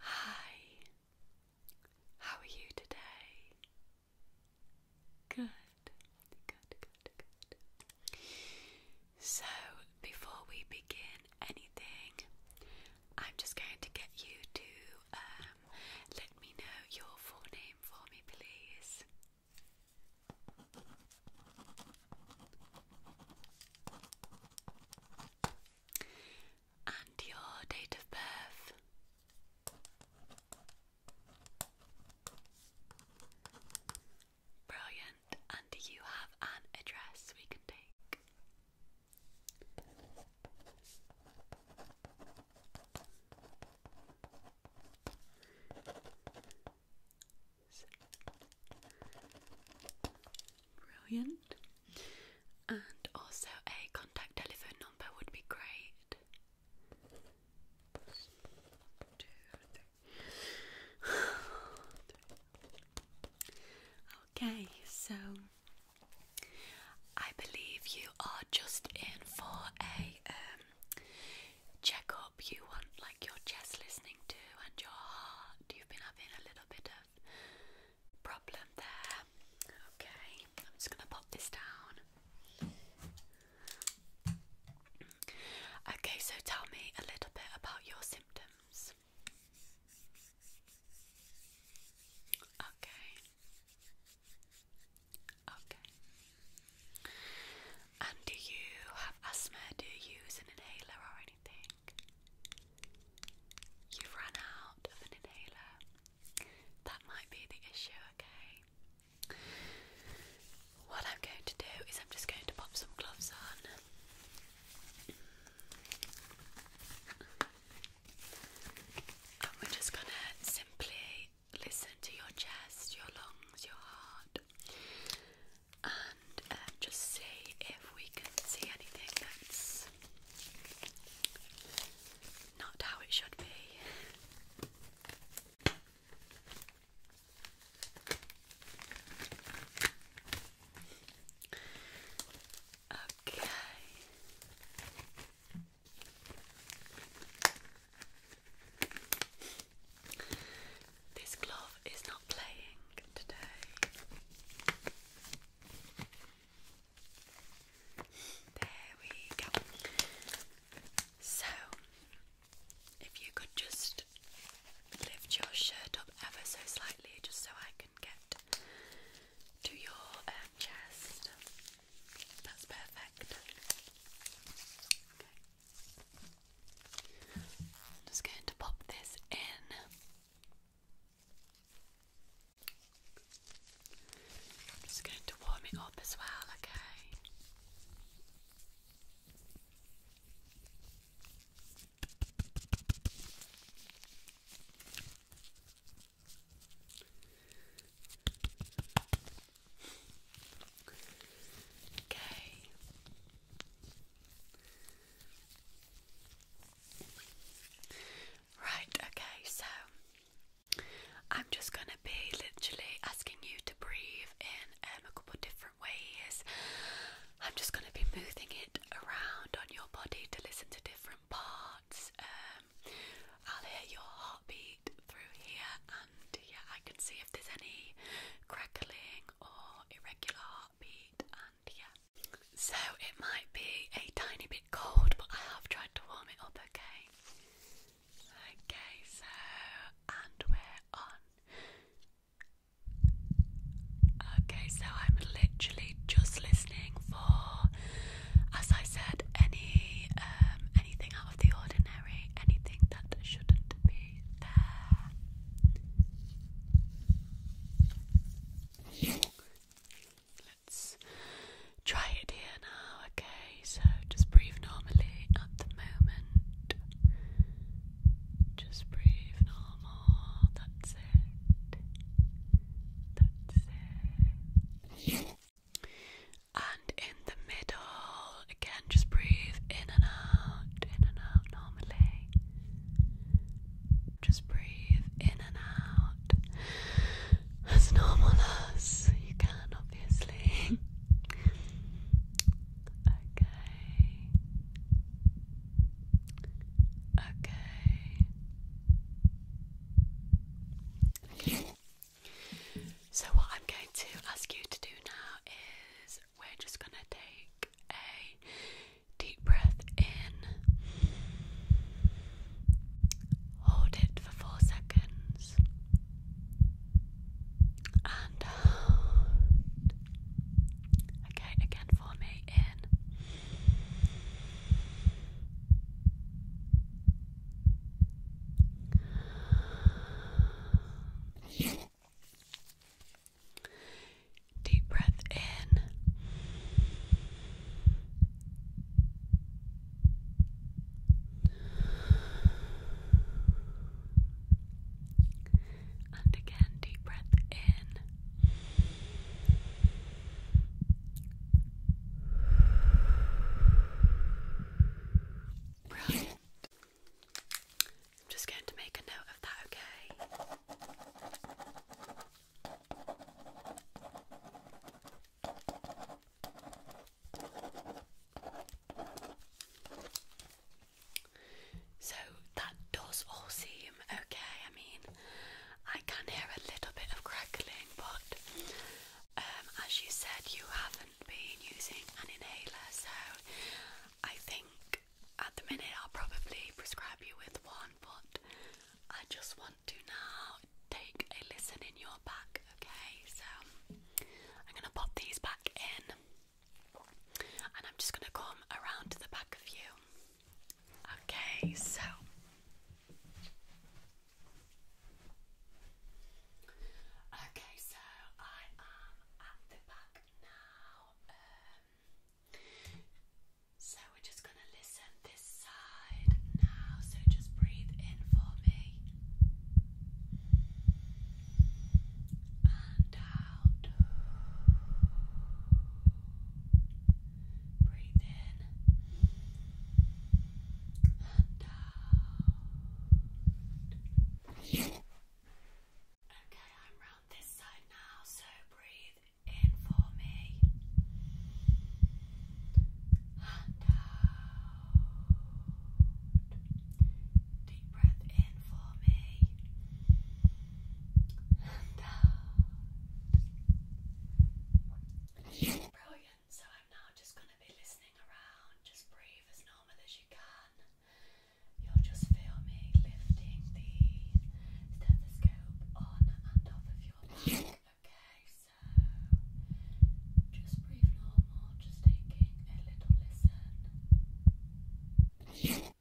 Hi, how are you today? Good, good, good, So, before we begin anything, I'm just going to get you to um, let me know your full name for me, please and your date of birth. Brilliant. And do you have an address we can take? Brilliant. And also a contact telephone number would be great. okay, so I believe you are just in for a um, checkup. You want like your chest listening to and your heart. You've been having a little bit of problem there. Okay, I'm just going to pop this down. Okay, so tell me a little bit about your symptoms. Okay. Okay. And do you have asthma? Do you use an inhaler or anything? You've run out of an inhaler. That might be the issue, okay? What I'm going to do is I'm just going to pop some gloves on. And we're just going to simply listen to your chest, your lungs, your heart. And and uh, just see if we can see anything that's not how it should be. Okay. This glove is not playing today. There we go. So, if you could just lift your shirt up ever so slightly, just so I can get to your um, chest. That's perfect. just going to pop this in. I'm just going to warm it up as well, okay? Okay, Right, okay, so I'm just going to be literally asking you to breathe in um, a couple of different ways. I'm just going to be moving it around on your body to listen to different parts. Um, I'll hear your heartbeat through here, and yeah, I can see if there's any crackling or irregular heartbeat, and yeah, so it might be a tiny bit cold, but I have tried to warm it up, okay? Okay, so, and we're on. Okay, so I'm literally just listening for, as I said, any um, anything out of the ordinary, anything that shouldn't be there. Let's try it here now, okay? So just breathe normally at the moment. Just breathe normal. That's it. That's it. And in the middle, again, just breathe in and out, in and out normally. Just breathe in and out as normal as you can, obviously. okay. Okay. So, what I'm going to ask you to do now is we're just going to take a deep breath in, hold it for four seconds, and hold. Okay, again for me in. Deep breath in. And again, deep breath in. Brilliant. I'm just going to make a note of that, okay? So that does all seem okay. I mean, I can hear a little bit of crackling, but um, as you said, you haven't been using an inhaler, so I think at the minute I'll probably prescribe you with one, but I just want to now take a listen in your back, okay? So I'm gonna pop these back in and I'm just gonna come around to the back of you. Okay, so Okay, so I am at the back now. Um, so we're just going to listen this side now. So just breathe in for me and out. Breathe in and out. Okay, I'm round this side now, so breathe in for me and Deep breath in for me and Brilliant. So I'm now just going to be listening around. Just breathe as normal as you can. You'll just feel lifting the stethoscope on and off of your Okay, so just breathe normal, just taking a little listen.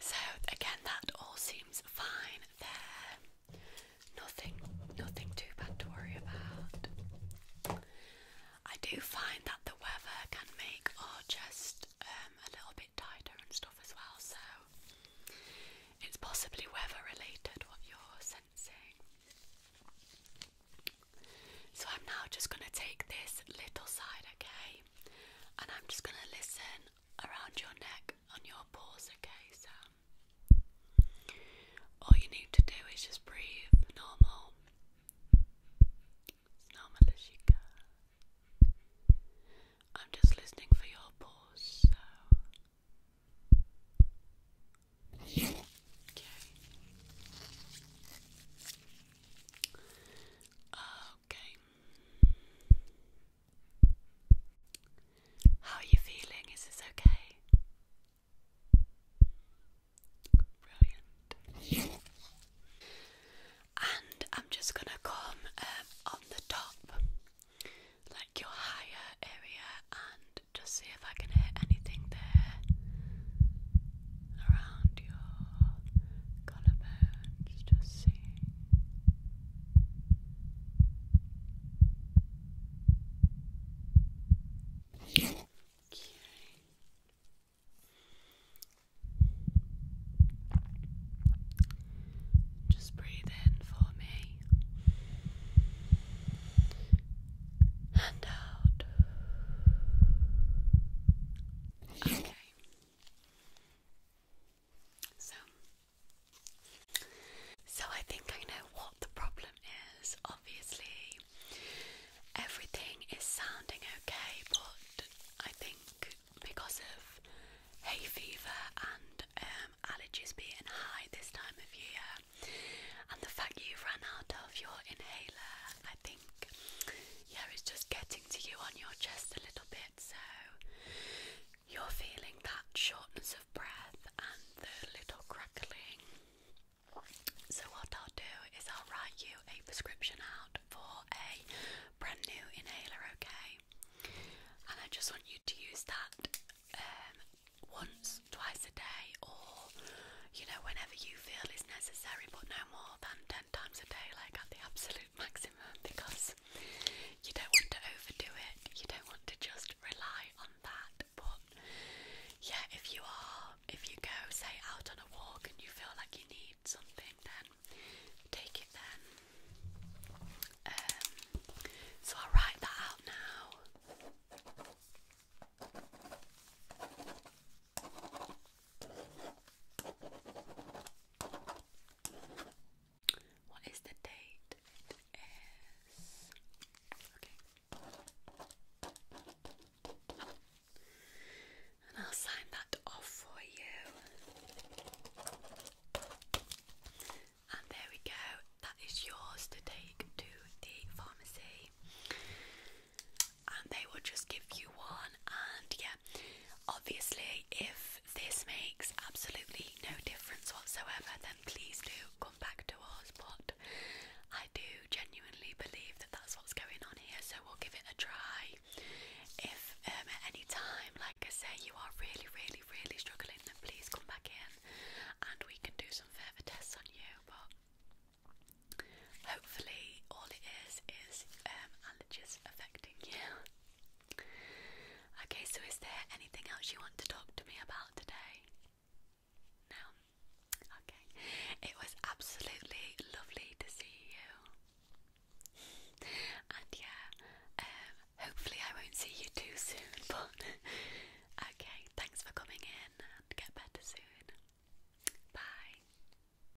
So again, that all seems fine there. Nothing, nothing too bad to worry about. I do find that the weather can make our just um, a little bit tighter and stuff as well. So it's possibly weather related what you're sensing. So I'm now just going to take this little side, okay? and I'm just gonna listen around your neck on your pores, okay? So, all you need to do is just breathe normal, normal as I'm just listening for your pores, Okay. Okay. How are you feeling? Is this okay? Brilliant. and I'm just going to come um, on the top, like your higher area, and just see if I can hit anything there around your collarbones, just seeing okay just breathe in for me and out okay so, so I think I know what the problem is. Obviously, everything is sounding okay, but I think because of hay fever and um, allergies being high this time of year, and the fact you ran out of your inhaler, I think yeah, it's just getting to you on your chest a little bit, so you're feeling that shortness of breath and the little crackling. So what I'll do is I'll write you a prescription out for a brand new inhaler, okay? And I just want you to use that um, once, twice a day, or you know, whenever you feel is necessary, but no more than 10 ten times a day, like at the absolute maximum, because you don't want to overdo it. You don't want to just rely on that. But yeah, if you are, if you go say out on a walk and you feel like you need something, then take it. Then, um, so i write that out now. What is the date? It is okay. And I'll sign that off for you. And there we go. That is yours to take to the pharmacy and they will just give you one. And yeah, obviously, if this makes absolutely no difference whatsoever, then please do come back to us. But I do genuinely believe that that's what's going on here, so we'll give it a try. If um, at any time, like I say, you are really, really, really struggling, then please come back in and we can do some further tests on you. But Hopefully, all it is is um, allergies affecting you. okay, so is there anything else you want to talk to me about today? No? Okay. It was absolutely lovely to see you. and yeah, um, hopefully, I won't see you too soon, but okay, thanks for coming in and get better soon. Bye.